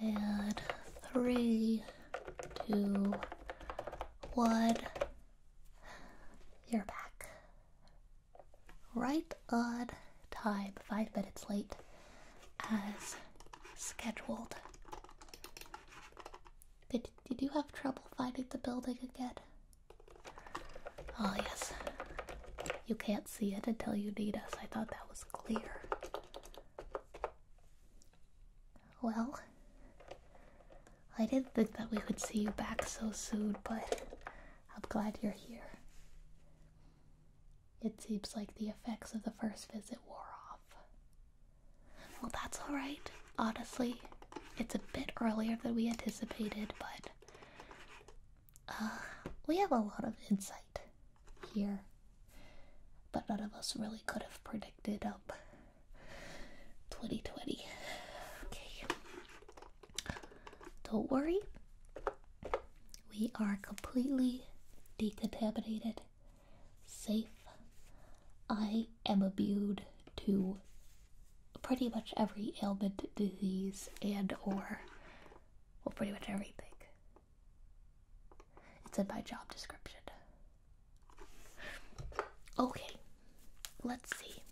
and three, two, one. You're back. Right on time, five minutes late as scheduled. Did, did you have trouble finding the building again? Oh, yes. You can't see it until you need us. I thought that was clear. Well, I didn't think that we would see you back so soon, but I'm glad you're here. It seems like the effects of the first visit wore off. Well, that's alright, honestly. It's a bit earlier than we anticipated, but uh, we have a lot of insight here but none of us really could have predicted up 2020 okay don't worry we are completely decontaminated safe i am immune to pretty much every ailment disease and or well pretty much everything it's said by job description. Okay, let's see.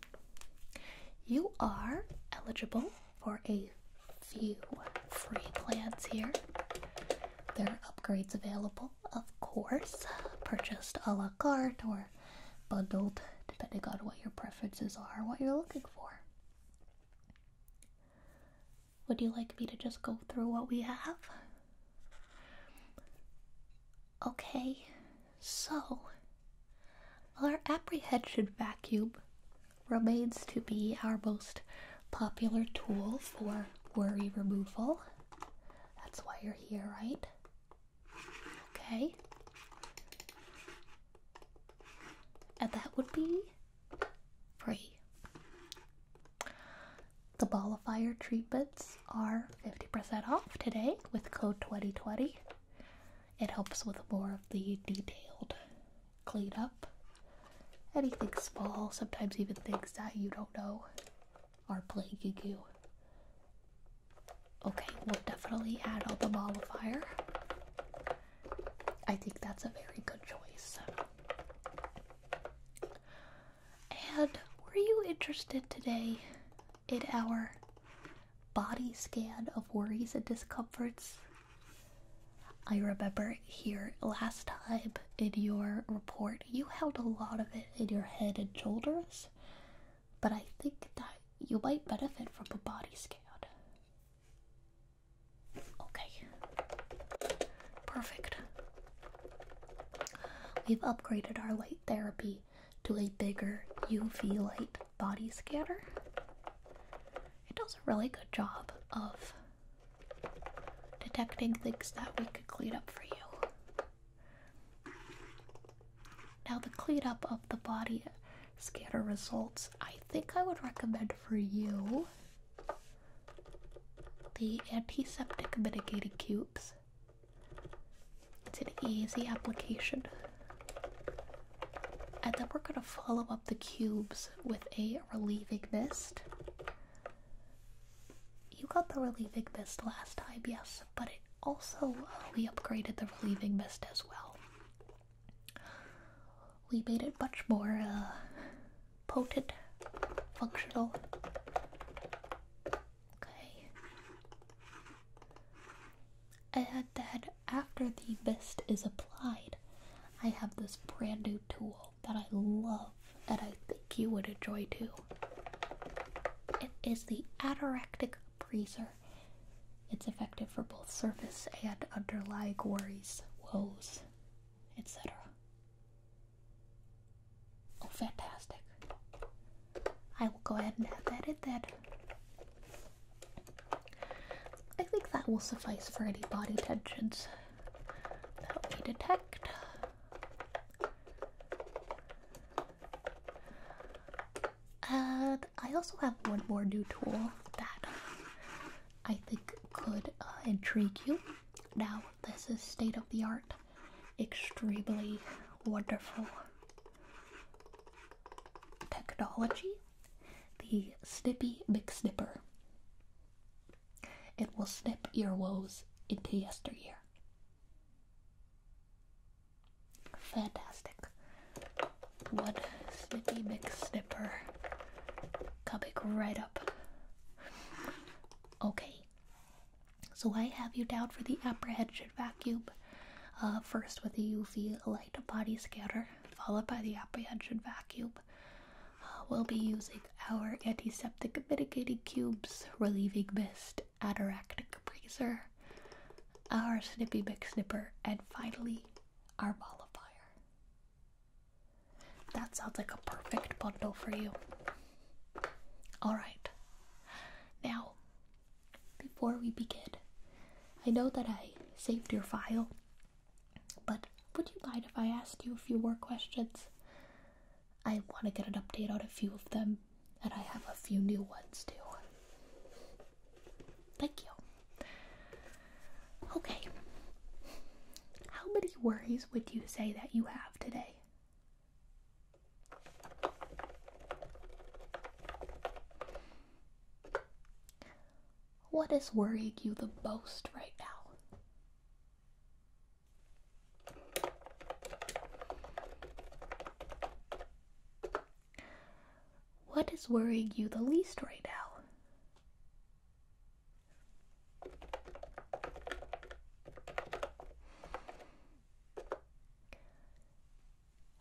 You are eligible for a few free plans here. There are upgrades available, of course, purchased a la carte or bundled, depending on what your preferences are, what you're looking for. Would you like me to just go through what we have? Okay, so our apprehension vacuum remains to be our most popular tool for worry removal. That's why you're here, right? Okay. And that would be free. The Ball of Fire treatments are 50% off today with code 2020. It helps with more of the detailed cleanup. Anything small, sometimes even things that you don't know are plaguing goo. Okay, we'll definitely add on the ball of fire. I think that's a very good choice. And were you interested today in our body scan of worries and discomforts? I remember here last time in your report, you held a lot of it in your head and shoulders, but I think that you might benefit from a body scan. Okay. Perfect. We've upgraded our light therapy to a bigger UV light body scanner. It does a really good job of detecting things that we could clean up for you. Now, the clean up of the body scanner results, I think I would recommend for you the antiseptic mitigating cubes. It's an easy application. And then we're going to follow up the cubes with a relieving mist. You got the relieving mist last time, yes, but it also uh, we upgraded the relieving mist as well we made it much more uh, potent, functional. Okay. And that after the mist is applied, I have this brand new tool that I love and I think you would enjoy too. It is the Ataractic Breezer. It's effective for both surface and underlying worries, woes, etc. Oh, fantastic. I will go ahead and add that in then. I think that will suffice for any body tensions that we detect. And I also have one more new tool that I think could uh, intrigue you. Now, this is state of the art, extremely wonderful technology the Snippy McSnipper. It will snip your woes into yesteryear. Fantastic. One Snippy McSnipper Topic right up. Okay. So I have you down for the apprehended vacuum. Uh, first with the UV light body scanner, followed by the apprehended vacuum. Uh, we'll be using our antiseptic mitigating cubes, relieving mist, anoractic breezer, our snippy mix snipper, and finally our mollifier. That sounds like a perfect bundle for you. Alright. Now, before we begin, I know that I saved your file, but would you mind if I asked you a few more questions? I want to get an update on a few of them, and I have a few new ones too. Thank you. Okay. How many worries would you say that you have today? What is worrying you the most right now? What is worrying you the least right now?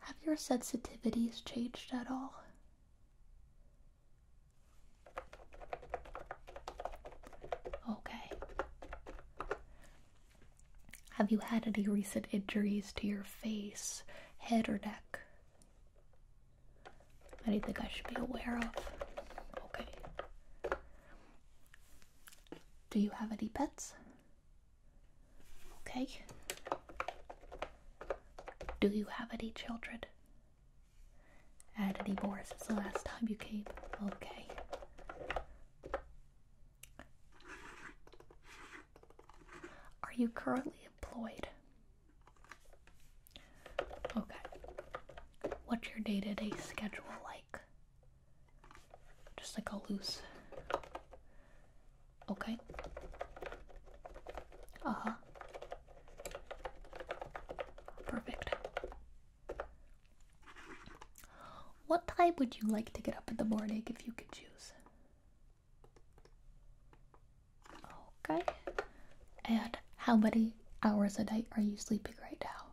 Have your sensitivities changed at all? Okay. Have you had any recent injuries to your face, head, or neck? think I should be aware of? Okay. Do you have any pets? Okay. Do you have any children? Had any more the last time you came? Okay. Are you currently employed? Okay. What's your day to day schedule like? Just like a loose. Okay. Uh huh. Perfect. What time would you like to get up in the morning if you could choose? Okay. And how many hours a night are you sleeping right now?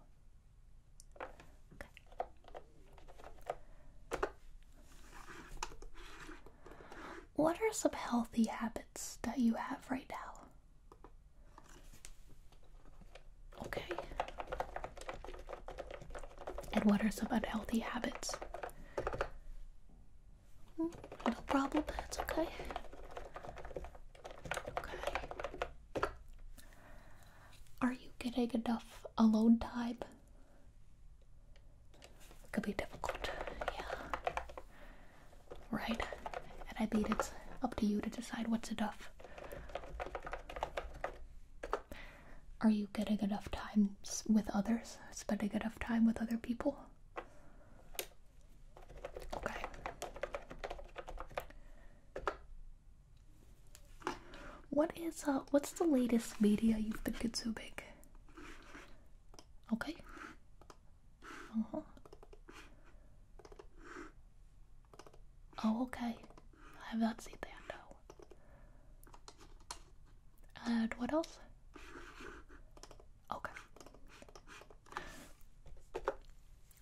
What are some healthy habits that you have right now? Okay. And what are some unhealthy habits? No problem, it's okay. Okay. Are you getting enough alone time? Could be difficult, yeah. Right? And I mean, it's up to you to decide what's enough. Are you getting enough time with others? Spending enough time with other people? Okay. What is uh what's the latest media you've been consuming? Okay. Uh-huh. Oh, okay. I have not seen that, no. And what else? Okay.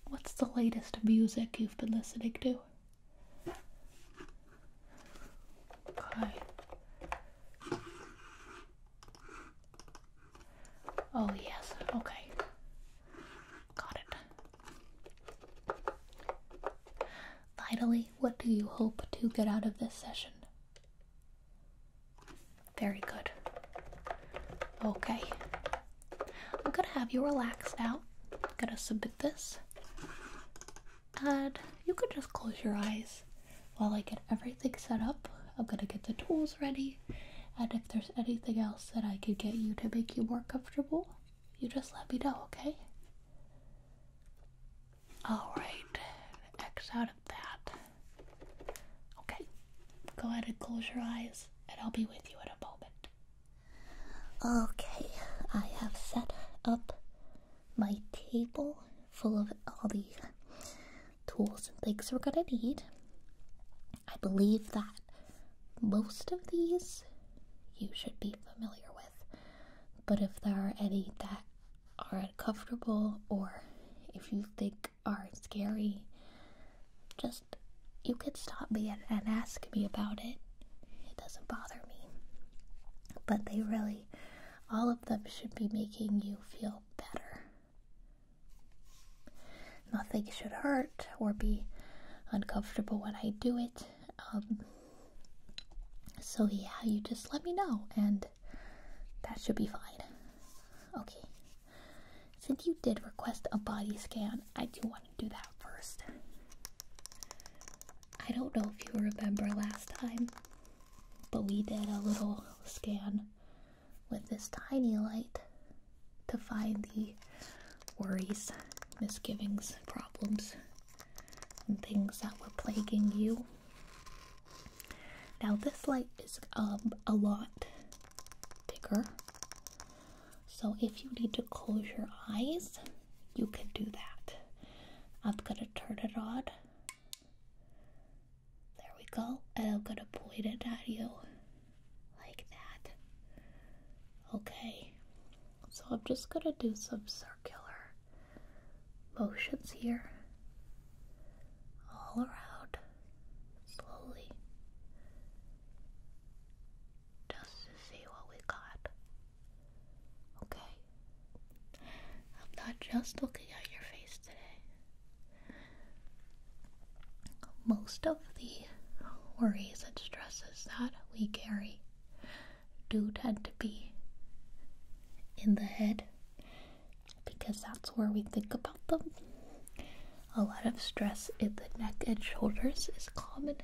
What's the latest music you've been listening to? Okay. Oh, yes. Okay. Got it. Finally, what do you hope to get out of this session? Very good. Okay. I'm gonna have you relax now. I'm gonna submit this. And you could just close your eyes while I get everything set up. I'm gonna get the tools ready. And if there's anything else that I could get you to make you more comfortable, you just let me know, okay? Alright. X out that. Okay, go ahead and close your eyes, and I'll be with you in a moment. Okay, I have set up my table full of all the tools and things we're gonna need. I believe that most of these you should be familiar with, but if there are any that are uncomfortable or if you think are scary, just you could stop me and, ask me about it. It doesn't bother me. But they really, all of them should be making you feel better. Nothing should hurt or be uncomfortable when I do it. Um, so, yeah, you just let me know and that should be fine. Okay. Since you did request a body scan, I do want to do that first. I don't know if you remember last time, but we did a little scan with this tiny light to find the worries, misgivings, problems, and things that were plaguing you now this light is um, a lot bigger. So if you need to close your eyes, you can do that. I'm gonna turn it on. There we go. And I'm gonna point it at you like that. Okay. So I'm just gonna do some circular motions here all around, slowly, just to see what we got. Okay? I'm not just looking at your face today. Most of the worries and stresses that we carry do tend to be in the head because that's where we think about them. A lot of stress in the neck and shoulders is common.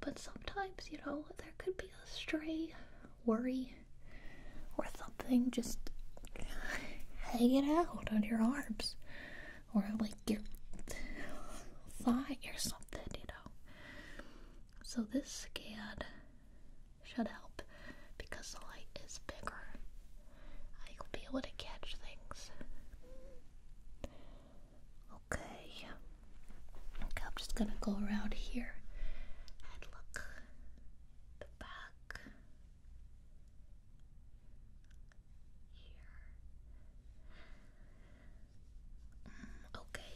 But sometimes, you know, there could be a stray worry or something just hanging out on your arms or like your thigh or something, you know. So this scan should help because the light is bigger. I will be able to catch things. Okay. Okay, I'm just gonna go around here and look the back. Here. Mm, okay.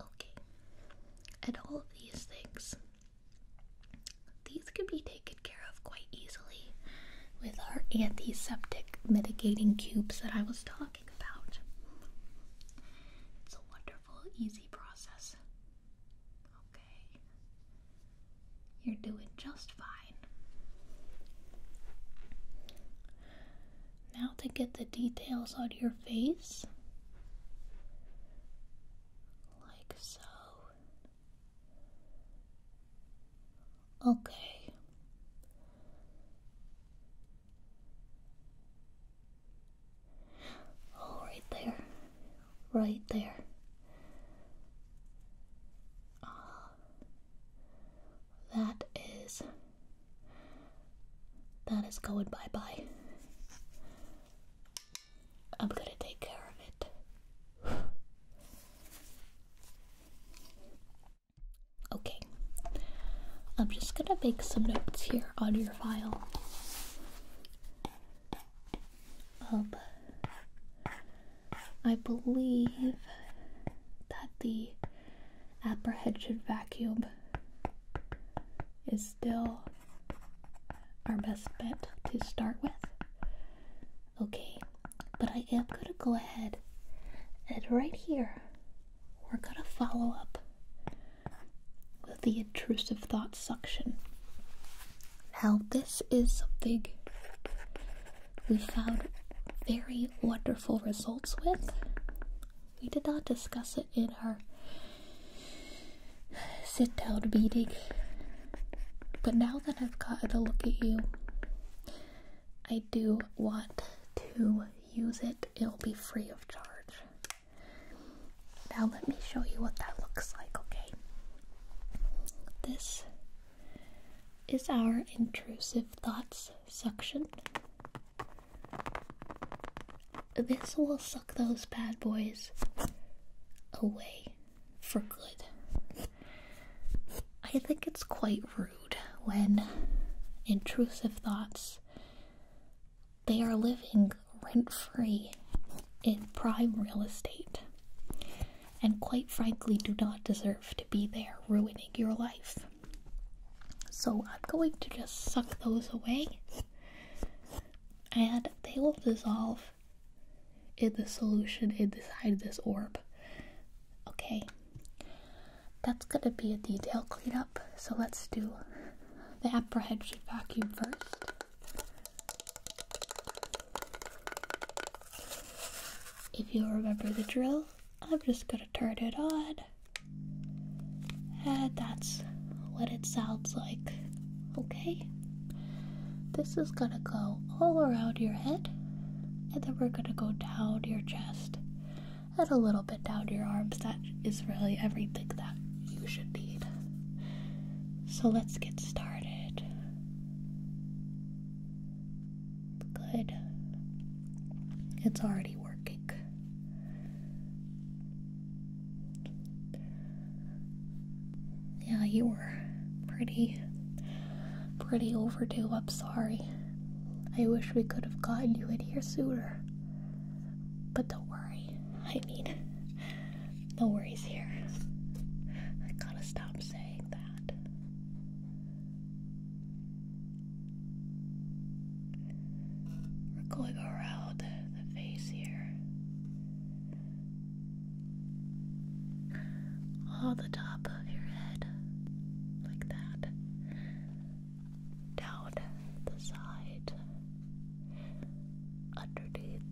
Okay. And all of these things these could be taken care of quite easily with our antiseptic mitigating cubes that I was talking about. It's a wonderful, easy process. Okay. You're doing just fine. Now, to get the details on your face, like so. Okay. Oh, there. Right there. Ah. That is. That is going bye bye. I'm gonna take care of it. Okay, I'm just gonna make some notes here on your file. Um, I believe that the apprehension vacuum is still our best bet to start with. Okay, but I am going to go ahead and right here, we're going to follow up with the intrusive thought suction. Now, this is something we found very wonderful results with. We did not discuss it in our sit down meeting. But now that I've got a look at you, I do want to use it. It'll be free of charge. Now, let me show you what that looks like, okay? This is our intrusive thoughts section. This will suck those bad boys away for good. I think it's quite rude when intrusive thoughts they are living rent free in prime real estate and quite frankly do not deserve to be there ruining your life. So I'm going to just suck those away and they will dissolve in the solution inside this orb. Okay, that's gonna be a detail cleanup, so let's do the apprehension vacuum first. If you remember the drill, I'm just gonna turn it on. And that's what it sounds like okay? This is gonna go all around your head, and then we're gonna go down your chest and a little bit down your arms. That is really everything that you should need. So let's get started. Good. It's already working. Yeah, you were pretty, pretty overdue. I'm sorry. I wish we could have gotten you in here sooner. But don't worry. I mean, no worries here. I gotta stop saying that. We're going around the face here. All the top of your head, like that. Down the side, underneath,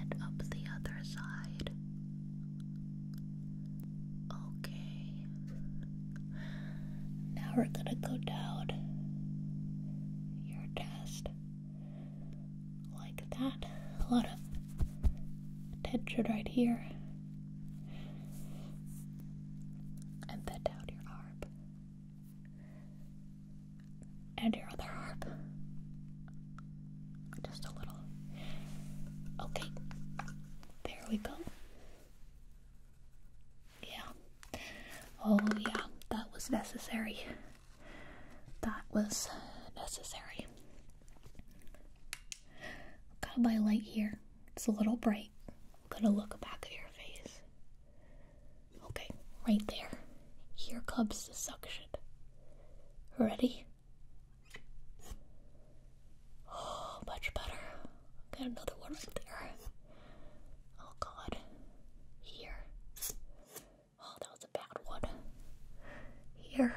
and up the other side. Okay, now we're gonna go down your chest like that. A lot of tension right here. And then down your arm. And your other arm. Just a little. Okay. There we go. Yeah. Oh, yeah, that was necessary. That was necessary. Got to buy light here. It's a little bright. i gonna look back at your face. Okay, right there. Here comes the suction. Ready? Oh, much better. Got another one right there. Oh god. Here. Oh, that was a bad one. Here. Here.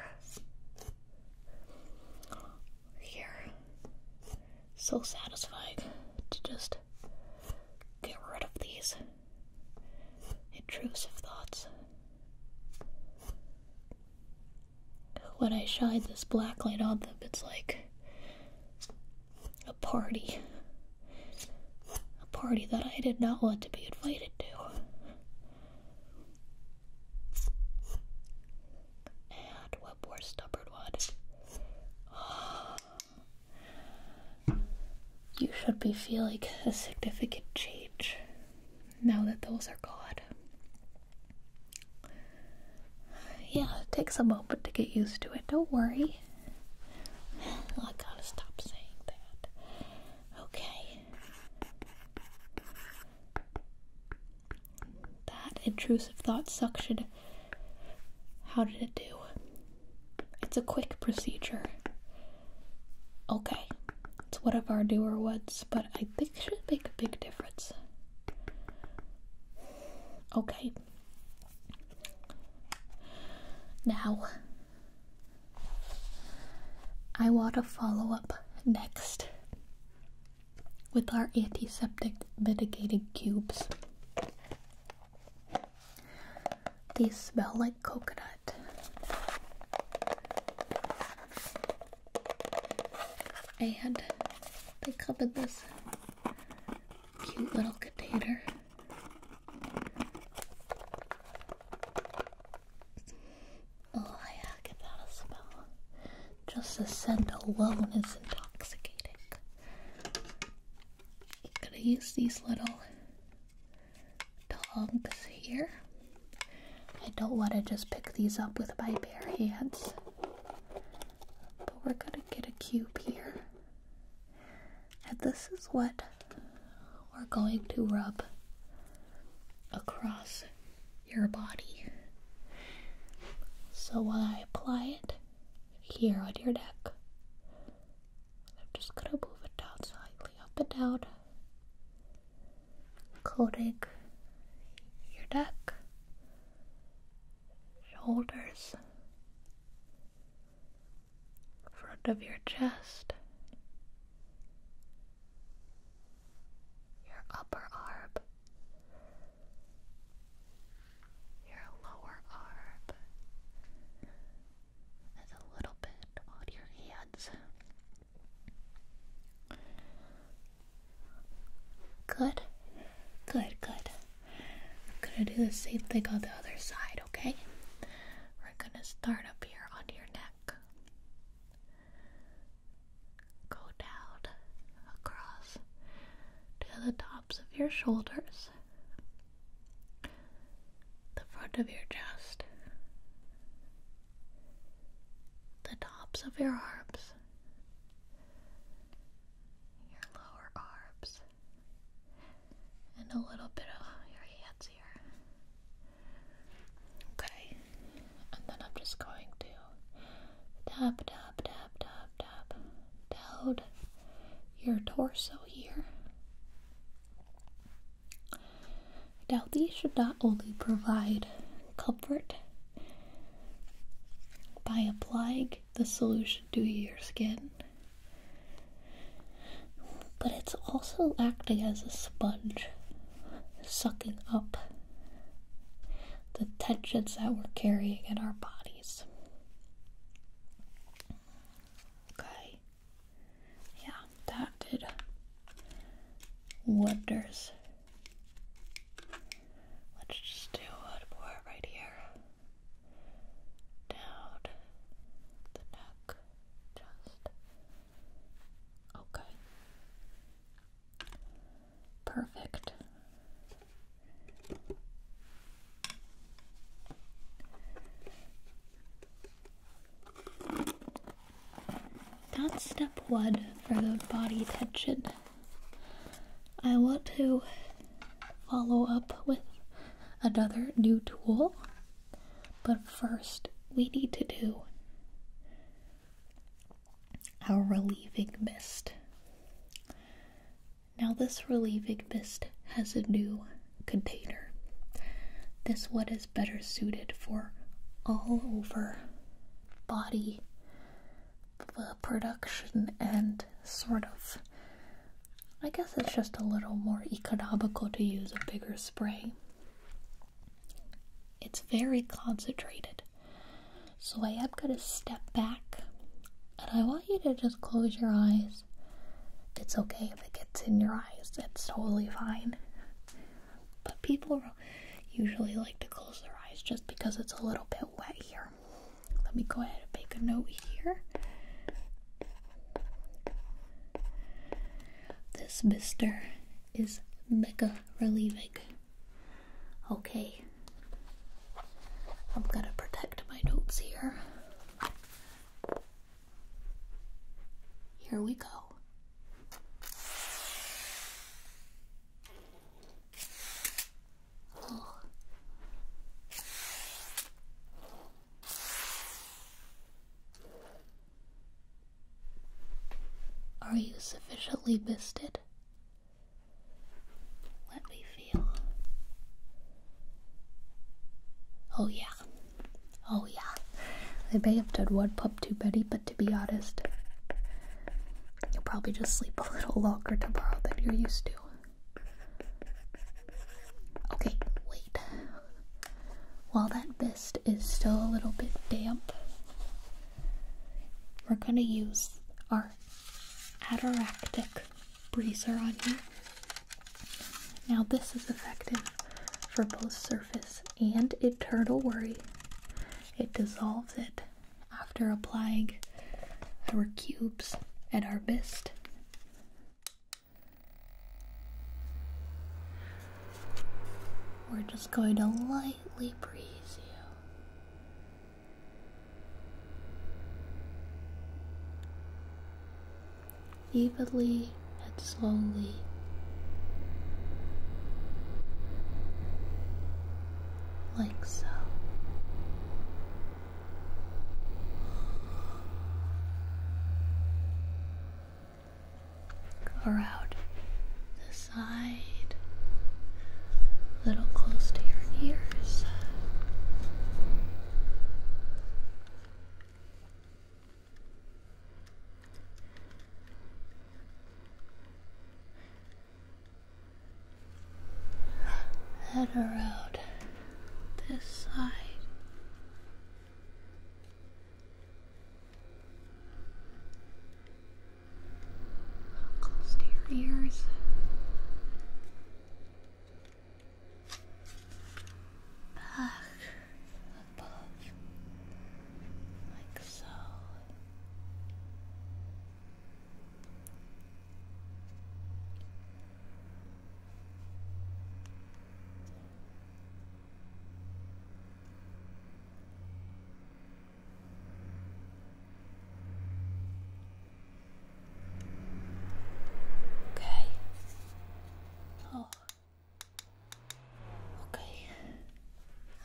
So satisfied to just get rid of these intrusive thoughts. When I shine this black light on them, it's like a party. A party that I did not want to be invited to. And one more stubborn one. You should be feeling a significant change now that those are gone. Yeah, it takes a moment to get used to it. Don't worry. I gotta stop saying that. Okay. That intrusive thought suction. How did it do? It's a quick procedure. Okay. It's one of our newer ones, but I think it should make a big difference. Okay. Now, I want to follow up next with our antiseptic mitigating cubes. They smell like coconut. And they come this cute little container. Oh yeah, I can smell. Just the scent alone is intoxicating. I'm gonna use these little tongs here. I don't want to just pick these up with my bare hands. But we're gonna get a cube here. And this is what we're going to rub across your body. So when I apply it here on your neck, I'm just gonna move it down slightly, up and down, coating your neck shoulders, front of your chest, your upper arm, your lower arm, and a little bit on your hands. Good. Good, good. I'm gonna do the same thing on the other side, okay? We're gonna start up here on your neck. Go down across to the tops of your shoulders, the front of your chest, the tops of your arms, your lower arms, and a little bit of your hands here. Okay, and then I'm just going to tap, tap, tap, tap, tap down your torso here. Now, these should not only provide comfort by applying the solution to your skin. But it's also acting as a sponge, sucking up the tensions that we're carrying in our bodies. Okay. Yeah, that did wonders Let's just do a pour right here. Down the neck, just okay. Perfect. That's step one for the body tension. I want to follow up with another new tool, but first we need to do our relieving mist. Now, this relieving mist has a new container. This one is better suited for all over body production and sort of I guess it's just a little more economical to use a bigger spray. It's very concentrated. So I am going to step back and I want you to just close your eyes. It's okay if it gets in your eyes, it's totally fine. But people usually like to close their eyes just because it's a little bit wet here. Let me go ahead and make a note here. This mister is mega relieving. Okay, I'm gonna protect my notes here. Here we go. Are you sufficiently misted? Let me feel. Oh, yeah. Oh, yeah. I may have done one pop too many, but to be honest, You'll probably just sleep a little longer tomorrow than you're used to. Okay, wait. While that mist is still a little bit damp, we're gonna use our Ataractic breezer on here. Now, this is effective for both surface and internal worry. It dissolves it after applying our cubes at our best. We're just going to lightly breeze you. Evenly and slowly like so. Cover the side, a little close to your ears head around this side. Close to your ears. Back above, like so. Okay. Oh. Okay.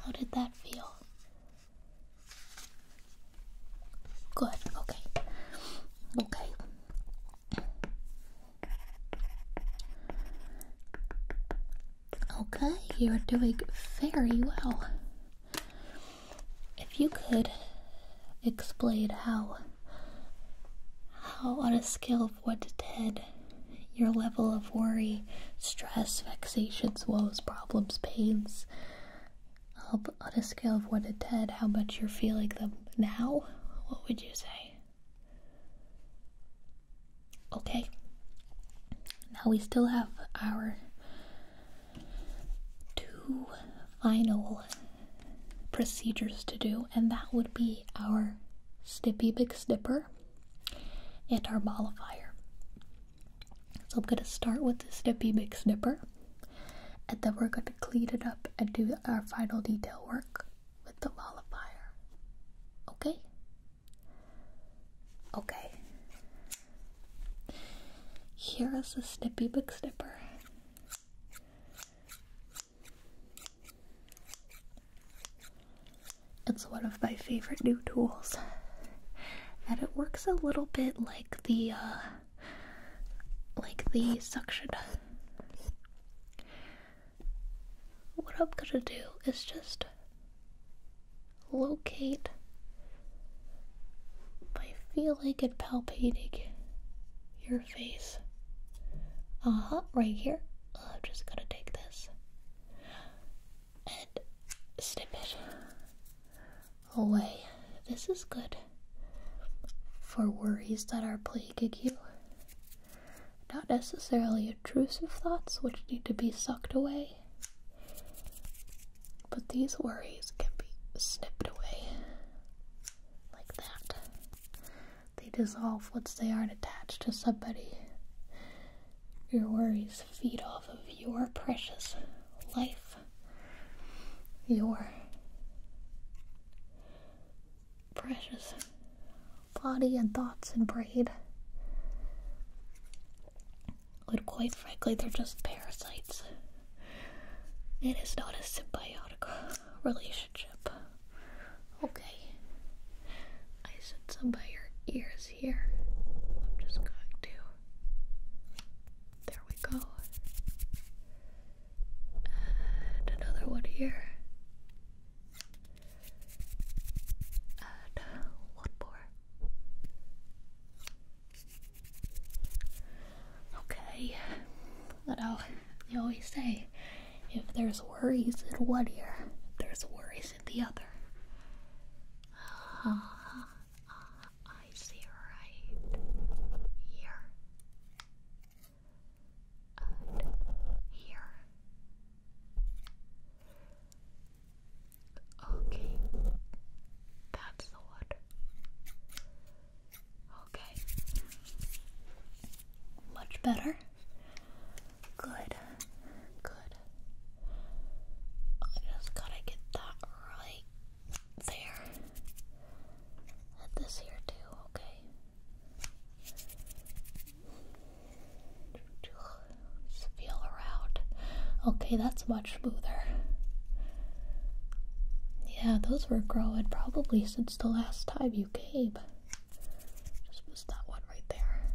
How did that feel? Good, okay. Okay. Okay, you are doing very well. If you could explain how how on a scale of 1 to 10 your level of worry, stress, vexations, woes, problems, pains on a scale of 1 to 10, how much you're feeling them now, what would you say? Okay. Now we still have our two final procedures to do, and that would be our Snippy Big Snipper and our mollifier. So I'm going to start with the snippy book snipper and then we're going to clean it up and do our final detail work with the mollifier. Okay? Okay. Here is the snippy book snipper. It's one of my favorite new tools. And it works a little bit like the uh, like the suction. What I'm gonna do is just locate by feeling and palpating your face. Uh huh, right here. I'm just gonna take this and snip it away. This is good for worries that are plaguing you. Not necessarily intrusive thoughts which need to be sucked away, but these worries can be snipped away like that. They dissolve once they aren't attached to somebody. Your worries feed off of your precious life, your precious body and thoughts and braid. But quite frankly, they're just parasites. It is not a symbiotic relationship. Okay. I said some by your ears here. I'm just going to. There we go. And another one here. And one more. Okay. You know, they always say if there's worries in one ear, there's worries in the other. Uh, I see right here and here. Okay, that's the word. Okay, much better. Good, good. I just gotta get that right there. And this here too, okay? feel around. Okay, that's much smoother. Yeah, those were growing probably since the last time you came. Just miss that one right there.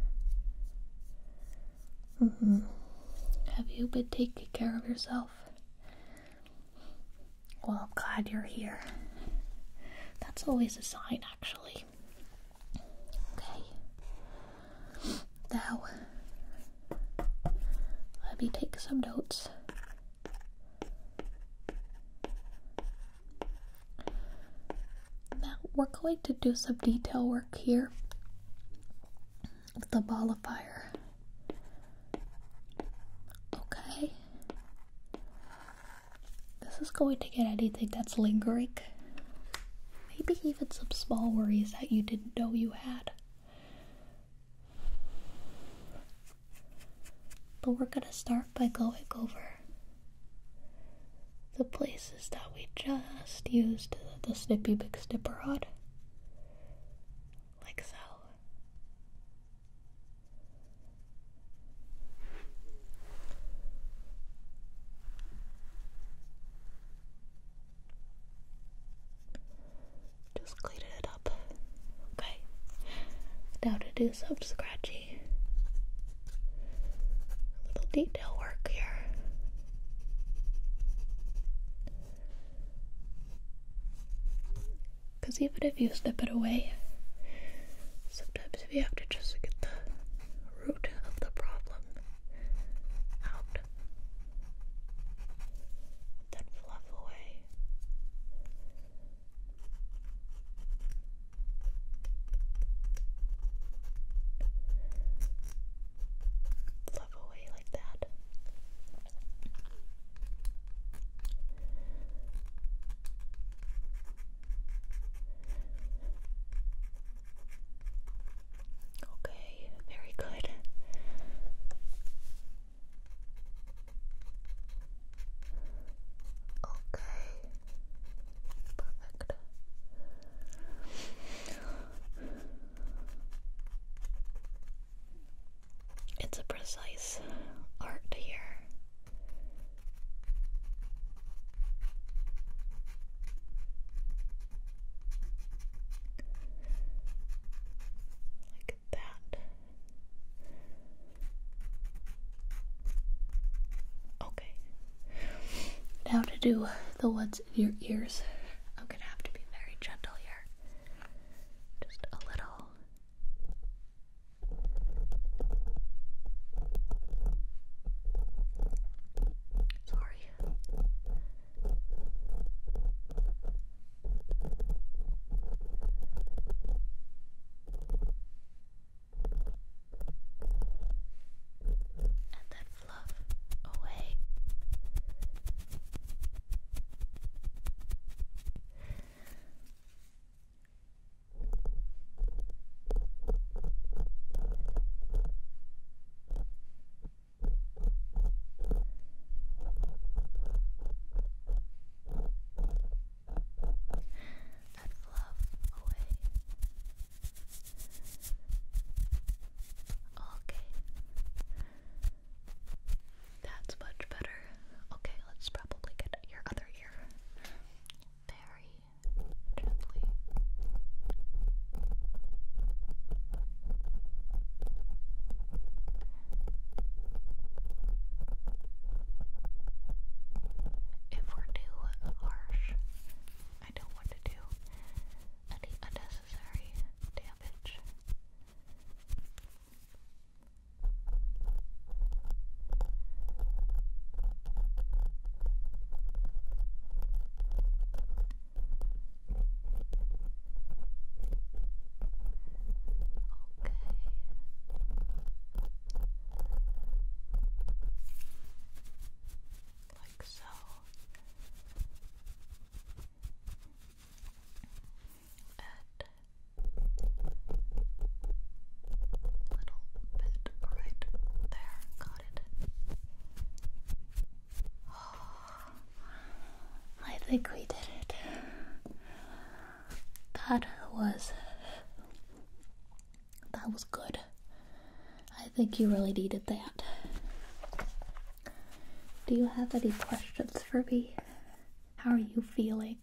Mm-hmm. Have you been taking care of yourself? Well, I'm glad you're here. That's always a sign, actually. Okay. Now, let me take some notes. Now, we're going to do some detail work here with the ball of fire. Okay. This is going to get anything that's lingering. Maybe even some small worries that you didn't know you had. But we're going to start by going over the place is that we just used the, snippy big snipper rod, Like so. Just clean it up. Okay. Now to do some scratchy. little detail work here. Because even if you step it away, sometimes we have to just get the root of the problem out. Then fluff away fluff away like that. Okay, very good. Okay, perfect. It's a precise art here. Like that. Okay. Now to do the ones in your ears. I'm gonna have to be very gentle here. Just a little. Sorry. And then fluff away. That fluff away. Okay. That's much better. Okay, let's probably get your other ear very gently. If we're too harsh, I don't want to do any unnecessary damage. Okay like so. And little bit right there. Got it. Oh, I think we did it. That was that was good. I think you really needed that. Do you have any questions for me? How are you feeling?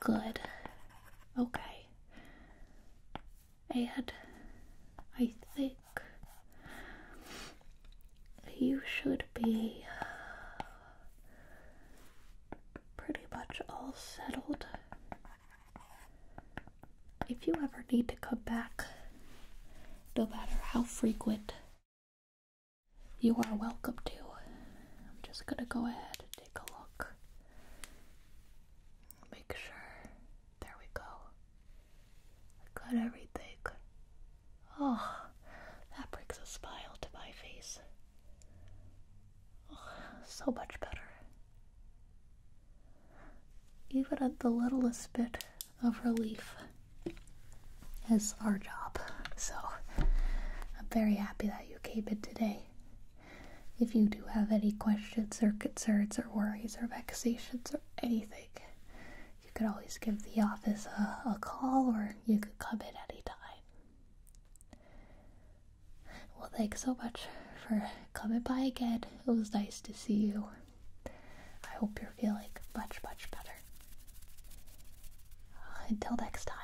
Good. Okay. And I think you should be uh, pretty much all settled if you ever need to come back, no matter how frequent, you are welcome to. I'm just gonna go ahead and take a look. Make sure. There we go. got everything. Oh, that brings a smile to my face. Oh, so much better even at the littlest bit of relief is our job. So I'm very happy that you came in today. If you do have any questions or concerns or worries or vexations or anything, you could always give the office a, call or you could come in anytime. Well, thanks so much for coming by again. It was nice to see you. I hope you're feeling much, much better. Uh, until next time.